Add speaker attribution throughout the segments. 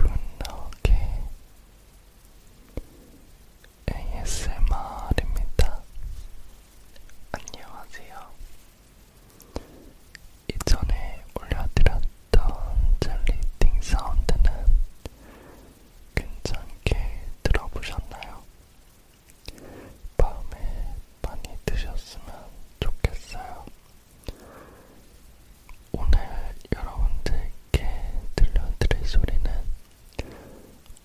Speaker 1: 안녕하세요. 굿나오게 ASMR입니다. 안녕하세요. 이전에 올려드렸던 젤리띵 사운드는 괜찮게 들어보셨나요? 밤에 많이 드셨으면 좋겠어요. 오늘 여러분들께 들려드릴 소리는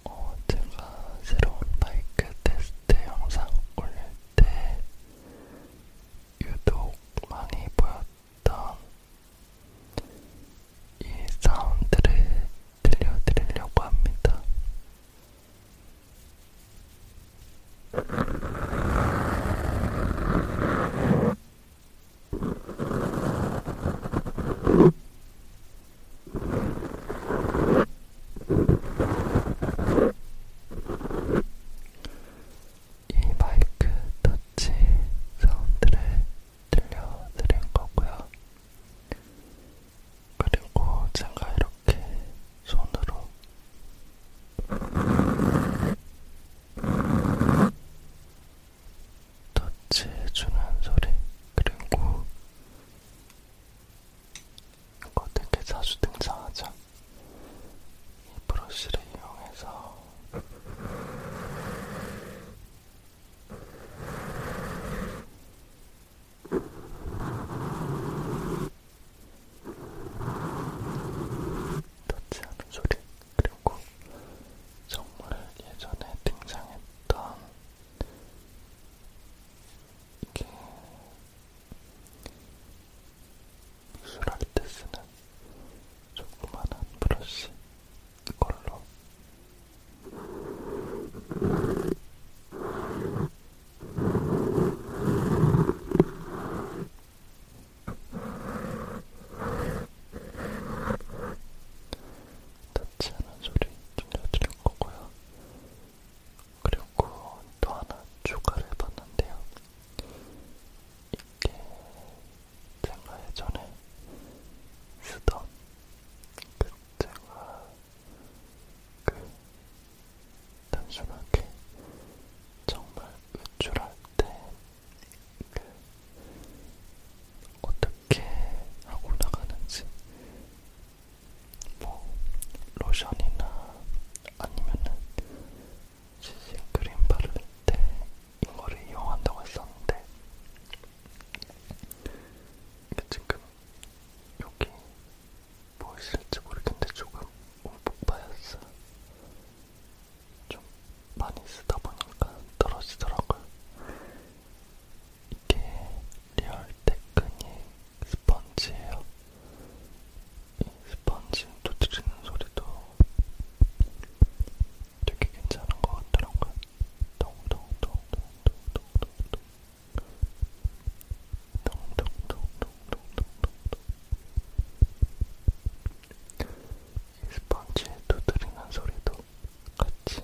Speaker 1: 어, 제가 새로운 마이크 테스트 영상 올릴 때 유독 많이 보였던 이 사운드를 들려드리려고 합니다. 이 마이크 터치 사운드를 들려드린 거고요. 그리고 제가 이렇게 손으로 터치해주는 소리 그리고 이거 되게 자주 등장하죠? 이 브러쉬를 이용해서 터치하는 소리 그리고 정말 예전에 등장했던 이게 미술할 때 쓰는 조그만한 브러쉬 걸로. 닿지 않은 소리 들려드릴 거고요. 그리고 또 하나 추가를 해봤는데요. 이게 제가 예전에 쓰던 그 제가 그 단순하게 정말 외출할 때 그 어떻게 하고 나가는지 뭐 로션이나 아니면은 시신 크림 바를 때 이거를 이용한다고 했었는데 이게 지금 여기 보이실지 뭐 모르겠는데 조금 오복바였어요. 좀 많이 쓰다 보니까 떨어지더라고요. 이게 리얼 테크닉 스펀지예요. 이 스펀지 두드리는 소리도 되게 괜찮은 것 같더라고요. 동동동동동동동동 동동동동동동 이 스펀지에 두드리는 소리도 같이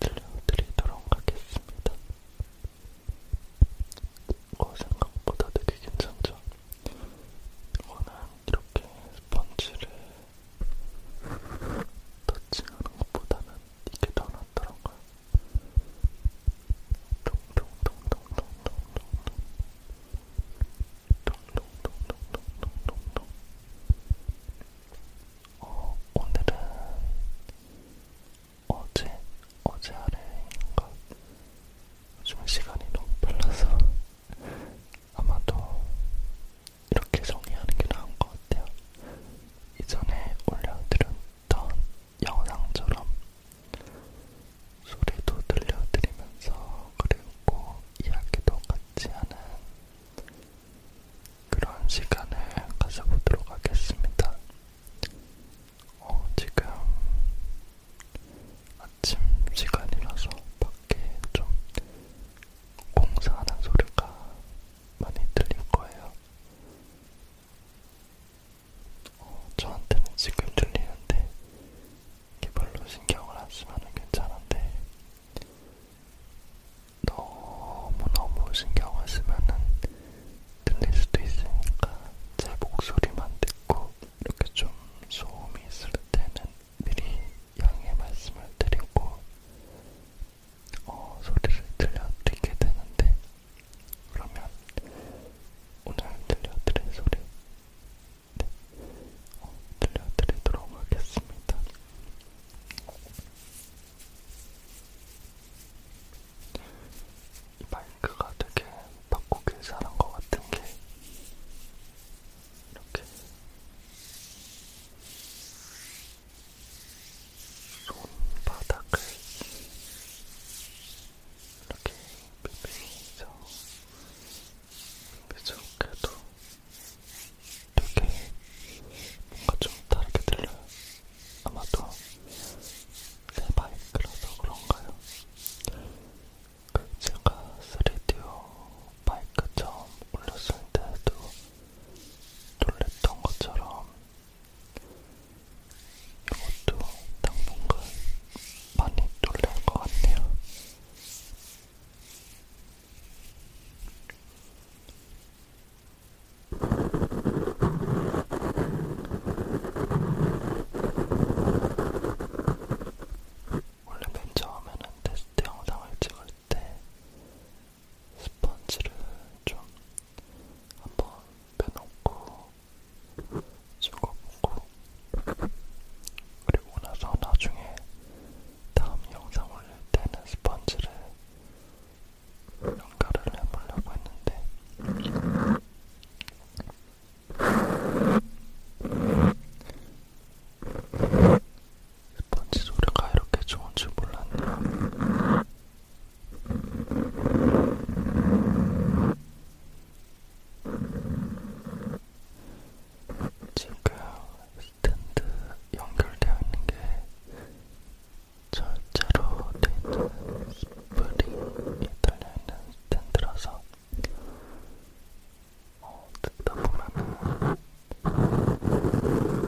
Speaker 1: 들려드리도록 하겠습니다. 어, 생각보다 되게 괜찮죠? 이거는 이렇게 스펀지를 터치하는 것보다는 이게 더 낫더라고요. 동동동동동동동동동동동동동동 어, 오늘은 어제, 어제 아래인가? 요즘 시간이 너무 빨라서 아마도 이렇게 정리하는 게 나은 것 같아요. 이전에 올려드렸던 영상처럼 소리도 들려드리면서 그리고 이야기도 같이 하는 그런 시간을 가져보도록 하겠습니다. 어, 지금 아침 시간이라서 밖에 좀 공사하는 소리가 많이 들릴 거예요. 어, 저한테는 지금 들리는데 이게 별로 신경을 안 쓰면 괜찮은데 너무너무 신경을 쓰면 들릴 수도 있으니까 제 목소리만 듣고 이렇게 좀 소음이 있을 때는 미리 양해 말씀을 드리고 어, 소리를 들려드리게 되는데 그러면 오늘 들려드릴 소리 네. 어, 들려드리도록 하겠습니다. 이 마이크가 되게 바꾸길 잘한 것 같은 게 이렇게 손바닥을 이렇게 비비면서 그래서 그래도 되게 뭔가 좀 다르게 들려요. 아마도 새 바이크라서 그런가요? 제가 3디오 마이크 처음 올렸을 때도 놀랬던 것처럼 이것도 당분간 많이 놀랄 것 같네요. 원래 맨 처음에는 테스트 영상을 찍을 때 스펀지를 좀 한번 빼놓고 찍어보고 그리고 나서 나중에 다음 영상 올릴 때는 스펀지를 연가를 해보려고 했는데 스펀지 소리가 이렇게 좋은 줄 몰랐네요. 지금 스탠드 연결되어 있는 게 절자로 되어 있는 스프링이 달려있는 스탠드라서 어, 듣다 보면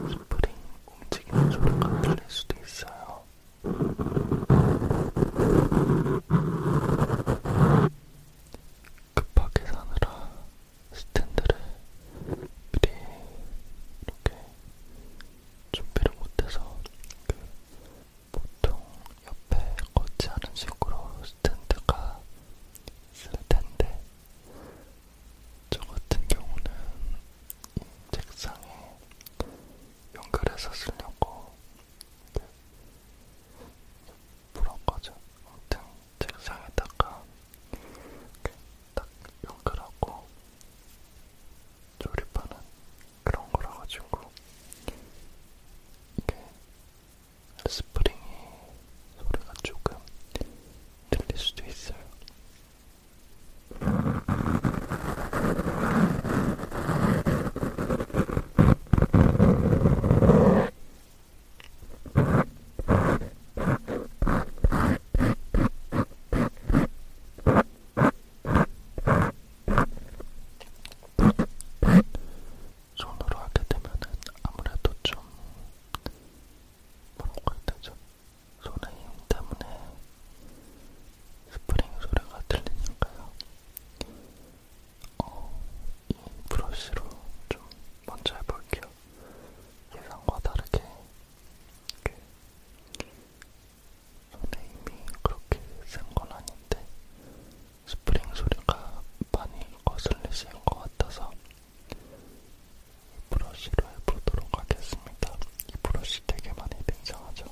Speaker 1: 스프링 움직이는 소리가 들릴 수도 있어요. 급하게 사느라 스탠드를 미리 이렇게 준비를 못해서 그 보통 옆에 꽂지 않은 식으로 스탠드가 있을 텐데 저 같은 경우는 이 책상에 연결해서 쓰려고 불었거든. 아무튼 책상에다가 딱 연결하고 조립하는 그런 거라 가지고 이게 스프링이 소리가 조금 들릴 수도 있어요. 손으로 하게 되면은 아무래도 좀 뭐라고 해야 되죠? 손의 힘 때문에 스프링 소리가 들리니까요. 어, 이 브러쉬로 좀 먼저 해볼게요. 예상과 다르게 손의 힘이 그렇게 센 건 아닌데 스프링 소리가 많이 거슬리시는 것 같아서 브러쉬로 해보도록 하겠습니다. 이 브러쉬 되게 많이 등장하죠.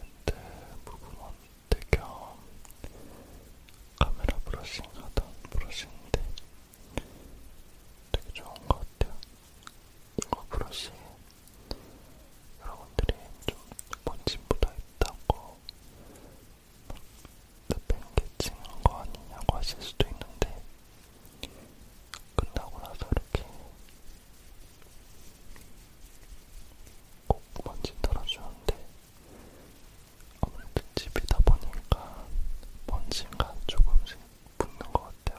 Speaker 1: 근데 무브먼트 겸 카메라 브러싱 하던 브러쉬인데 되게 좋은 것 같아요. 이거 브러쉬 여러분들이 좀 번짐보다 있다고 팽개치는 거 아니냐고 하실 수도 있는데 끝나고 나서 이렇게 꼭 먼지 털어주는데 아무래도 집이다 보니까 먼지가 조금씩 붙는 것 같아요.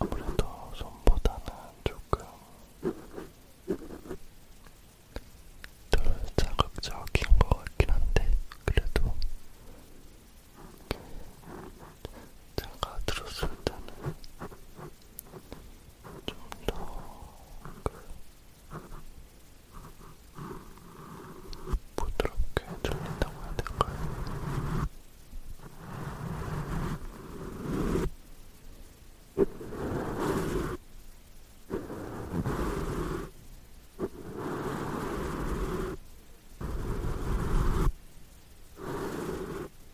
Speaker 1: 아무래도 손보다는 조금 덜 자극적인 것 같긴 한데 그래도 제가 들었을 때는 좀더 부드럽게 들린다고 해야 될까요? 음.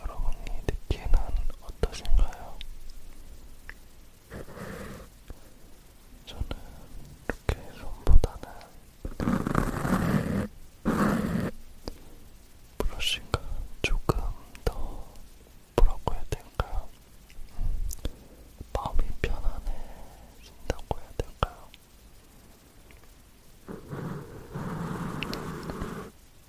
Speaker 1: 여러분이 느끼는 어떠신가요? 저는 이렇게 손보다는 브러쉬가 조금 더 뭐라고 해야 될까요? 마음이 편안해진다고 해야 될까요?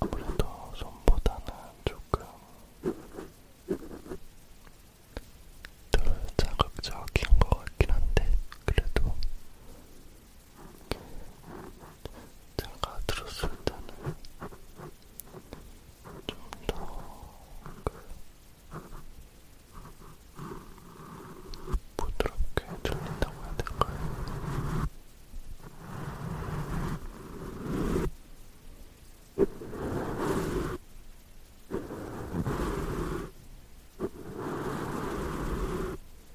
Speaker 1: 아무래도 손보다는 조금 덜 자극적인 것 같긴 한데, 그래도 제가 들었을 때는 좀더 그 부드럽게 들린다고 해야 될까요?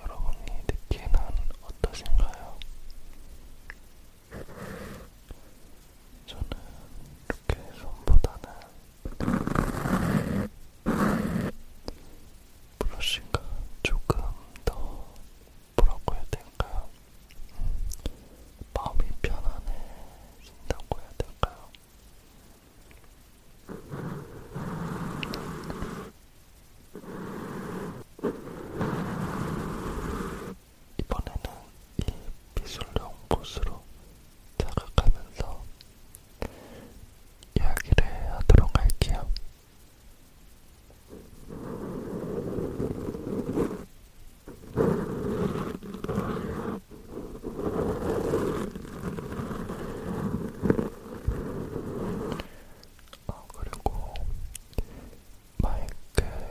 Speaker 1: 여러분이 느끼는 어떠신가요? 저는 이렇게 손보다는 브러쉬가 조금 더 뭐라고 해야 될까요? 음, 마음이 편안해진다고 해야 될까요? 이번에는 이 미술용 곳으로 다가가면서 이야기를 하도록 할게요. 아, 그리고 마이크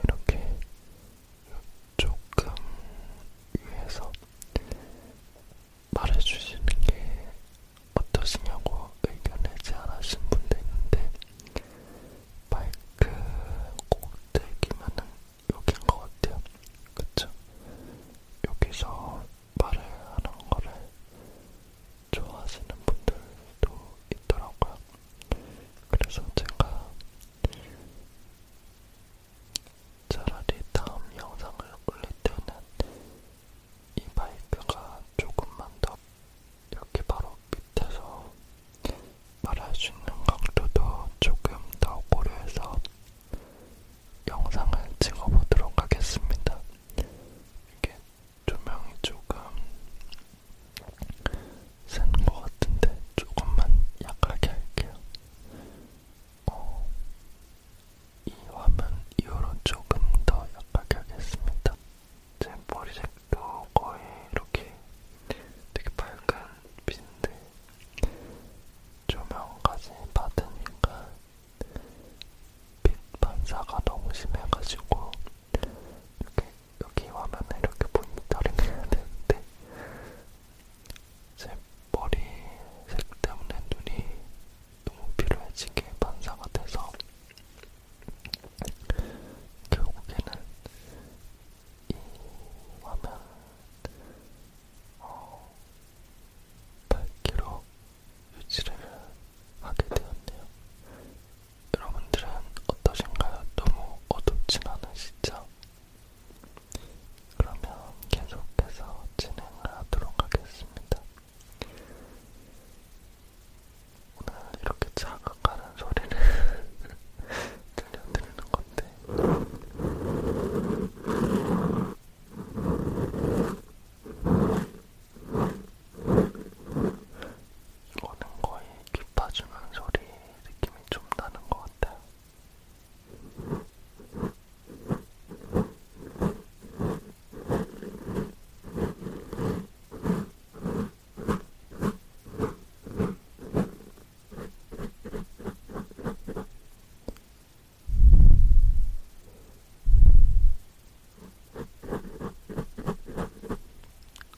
Speaker 1: 이렇게 조금 위에서 말해주시는 게 어떠시냐고 의견을 제안하신 분도 있는데 마이크 꼭대기만은 여긴 것 같아요. 그쵸? 여기서 말을 하는 거를 좋아하시는 분들도 있더라고요.
Speaker 2: 그래서 제가 차라리 다음 영상을 올릴 때는 이 마이크가 조금만 더 이렇게 바로 밑에서 말할 수 있는 각도도 조금 더 고려해서 영상을 찍어보도록 하겠습니다. 이게 조명이 조금 센 것 같은데 조금만 약하게 할게요. 어, 이 화면 이후로 조금 더 약하게 하겠습니다. 제 머리색도 거의 이렇게 되게 밝은 빛인데 조명까지 받으니까 빛 반사가 너무 심해가지고 이렇게 여기 화면에 이렇게 모니터링 해야 되는데 제 머리색 때문에 눈이 너무 피로해지게 반사가 돼서 결국에는 이 화면 어, 밝기로 유지를 하게 되었네요. 여러분들은 어떠신가요? 너무 어둡진 않으시죠? 그러면 계속해서 진행을 하도록 하겠습니다. 오늘 이렇게 자극하는 소리를 들려드리는 건데 이거는 거의 기파주는 소리 느낌이 좀 나는 것 같아요.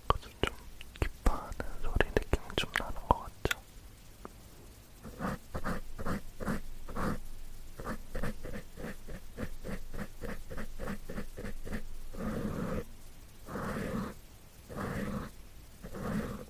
Speaker 2: 그래서 좀 기파하는 소리 느낌이 좀 나는 것 같죠?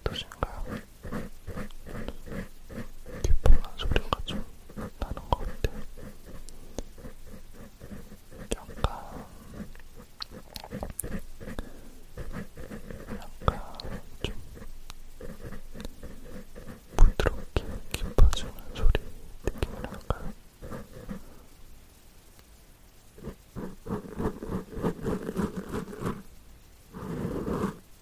Speaker 2: 어떠신가요? 기쁜한 소리가 좀 나는 것 같아요. 약간, 약간 좀 부드럽게 깊어지는 소리 느낌이랄까요?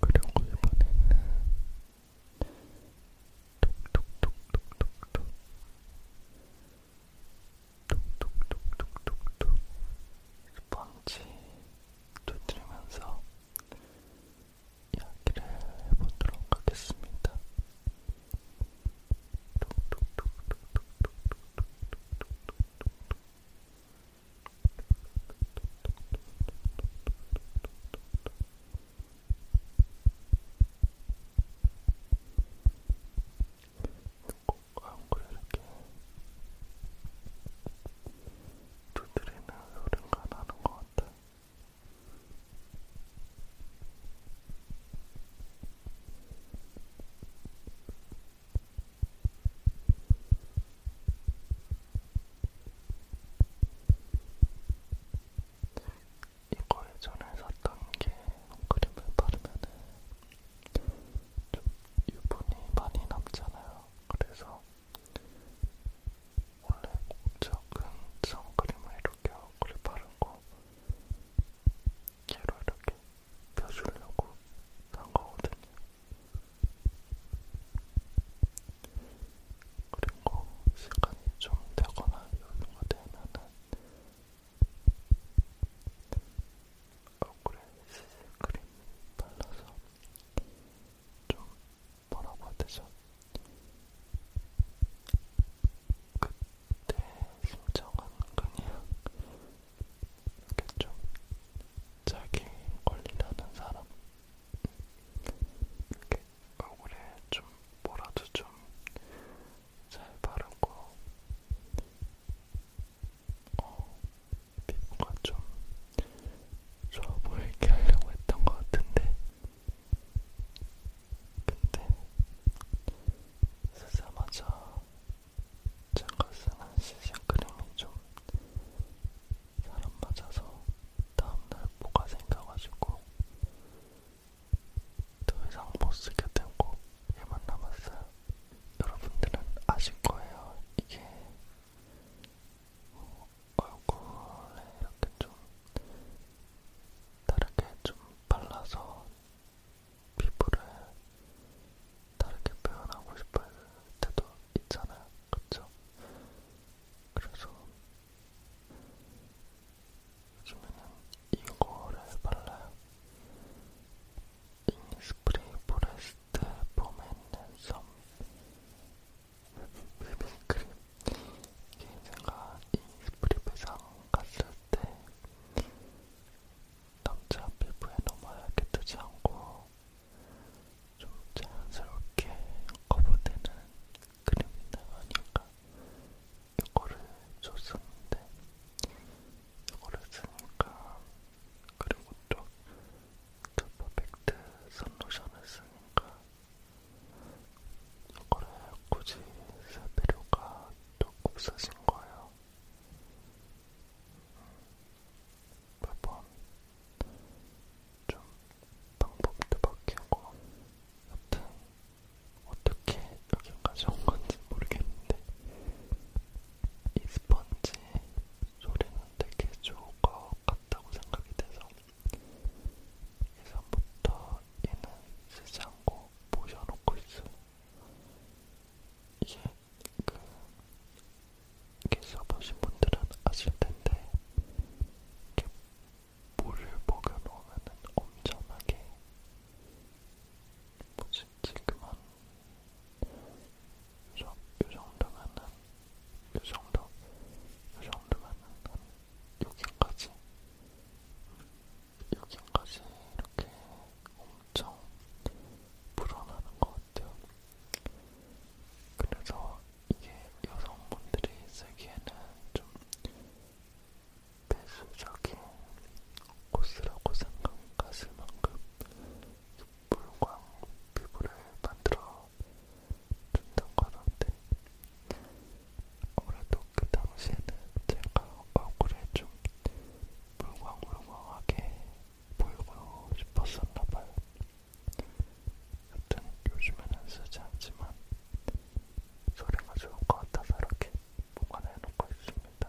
Speaker 2: 그리고 이번에는 톡톡톡톡톡톡
Speaker 1: 톡톡톡톡톡톡 스펀지 두드리면서 이야기를 해보도록 하겠습니다. 광고를 이렇게 두드리는 소리가 나는 것 같아. 이거 예전에 샀던 게 크림을 바르면은 좀 유분이 많이 남잖아요. 그래서 원래 목적은 선크림을 이렇게 얼굴에 바르고 얘로 이렇게 펴주려고 산 거거든요. 그리고 시간이 좀 되거나 여유가 되면은 얼굴에 CC크림 발라서 좀 뭐라고 해야 되죠? 그때 심정은 그냥 이렇게 좀 자기 권리라는 사람 이렇게 얼굴에 좀 뭐라도 좀 잘 바르고 어, 피부가 좀 좋아 보이게 하려고 했던 것 같은데 근데 쓰자마자 제가 쓰는 시즌크림이 좀 사람 맞아서 다음날 뭐가 생겨가지고 더 이상 못 쓰게 되고 얘만 남았어요. 여러분들은 아실 거예요. 이게 뭐 얼굴에 이렇게 좀 다르게 좀 발라서 피부를 다르게 표현하고 싶을 때도 있잖아요. 그쵸? 그래서 요즘에는 이거를 발라요. 이니스프리 포레스트 폼앤 랜섬 비빔크림 이게 제가 이 스프릿배상 갔을 때 남자 피부에 너무 하얗게 뜨지 않고 좀 자연스럽게 커버되는 크림이 나가니까 이거를 줬었는데 이거를 쓰니까 그리고 또
Speaker 2: 저 퍼펙트 선로션을 쓰니까 이거를 굳이 쓸 필요가 또 없어진 거예요. 음, 매번 좀 방법도 바뀌고 여튼 어떻게 여기까지 온 건지 모르겠는데 이 스펀지 소리는 되게 좋고 같다고 생각이 돼서 예전부터 얘는 쓰지 않고 모셔놓고 있어요. 이게 그 이렇게 써보신 분들은 아실 텐데 이렇게 물을 먹여놓으면 엄청나게 뭐지 지금 한 저, 요 정도면은, 요 정도, 요 정도면은 한 여기까지, 여기까지 이렇게 엄청 불어나는 것 같아요. 그래서 이게 여성분들이 쓰기에는 좀 배수적인 코스라고 생각하실 만큼
Speaker 1: 물광 피부를 만들어 준다고 하는데 아무래도 그 당시에는 제가 얼굴에 좀 물광물광하게 보이고 싶었었나봐요. 여튼 요즘에는 쓰지 않지만 소리가 좋을 것 같아서 이렇게 보관해놓고 있습니다.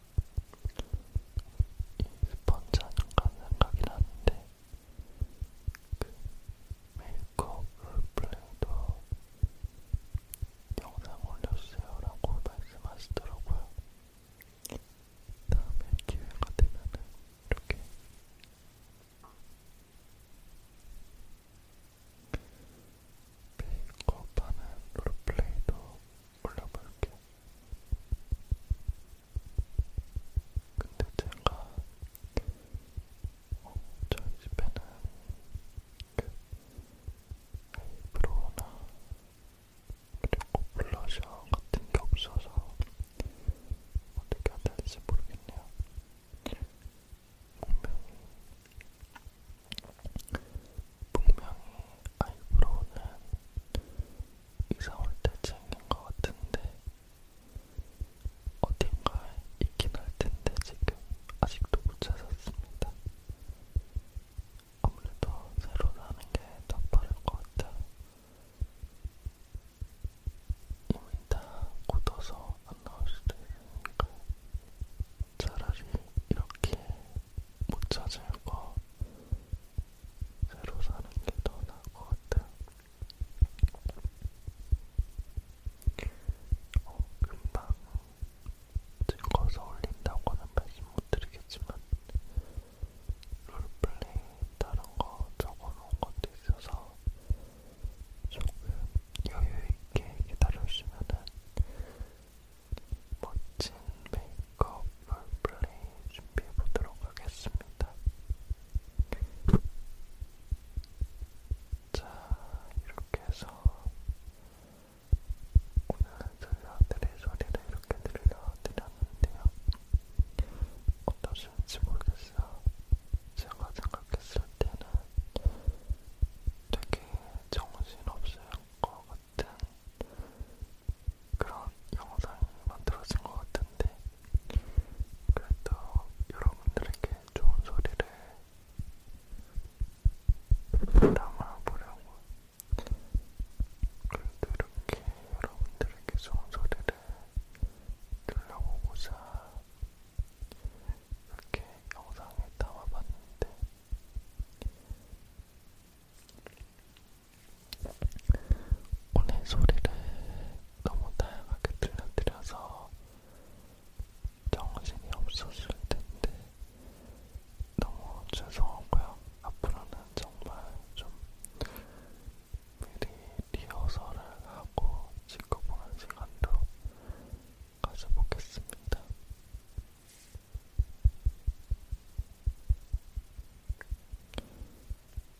Speaker 2: 이 스펀지 아닌가 생각이 나는데 그 메이크업 롤플레이도 영상 올렸어요 라고 말씀하시더라고요 다음에 기회가 되면 이렇게 메이크업하는 롤플레이도 올려볼게. 근데 제가 어, 저희 집에는 그 아이브로우나 그리고 블러셔 같은 게 없어서 어떻게 해야 될지 모르겠네요. 분명히 분명히 아이브로우는 이사 올때 챙긴 것 같은데 어딘가에
Speaker 1: 있긴 할 텐데 지금 아직도 못 찾았습니다. 아무래도 새로 사는 게 더 빠를 것 같아요. 이미 다 굳어서 안 나올 수도 있으니까 차라리 이렇게 못 찾을 거 새로 사는 게 더 나을 것 같아요. 어, 금방 찍어서 올린다고는 말씀 못 드리겠지만 롤플레이 다른 거 적어놓은 것도 있어서 조금 여유 있게 기다려주시면은 멋진 메이크업 롤플레이 준비해보도록 하겠습니다. 자, 이렇게 해서 오늘 들려드릴 소리를 이렇게 들려드렸는데요. 어떠신지 모르겠어요. 제가 생각했을 때는 되게 정신없을 것 같은 그런 영상이 만들어진 것 같은데 그래도 여러분들에게 좋은 소리를 담아보려고 그래도 이렇게 여러분들에게 좋은 소리를 들려보고자 이렇게 영상에 담아봤는데 오늘 소리를 너무 다양하게 들려드려서 정신이 없었을 텐데 너무 죄송하고요. 앞으로는 정말 좀 미리 리허설을 하고 찍어보는 시간도 가져보겠습니다.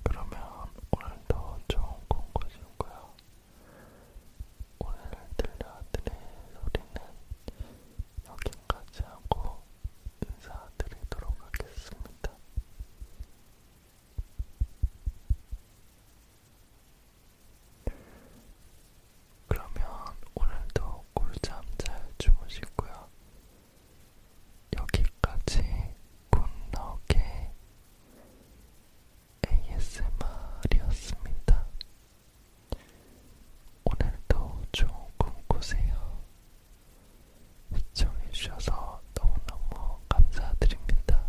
Speaker 1: 그러면 오늘도 좋은 꿈 꾸시고요. 오늘 들려드릴 소리는 여기까지 하고 인사드리도록 하겠습니다. 그러면 오늘도 꿀잠 잘 주무시고요. 여기까지 굿나게 ASMR이었습니다. 오늘도 좋은 꿈 꾸세요. 시청해주셔서 너무너무 감사드립니다.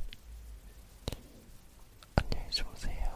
Speaker 2: 안녕히 주무세요.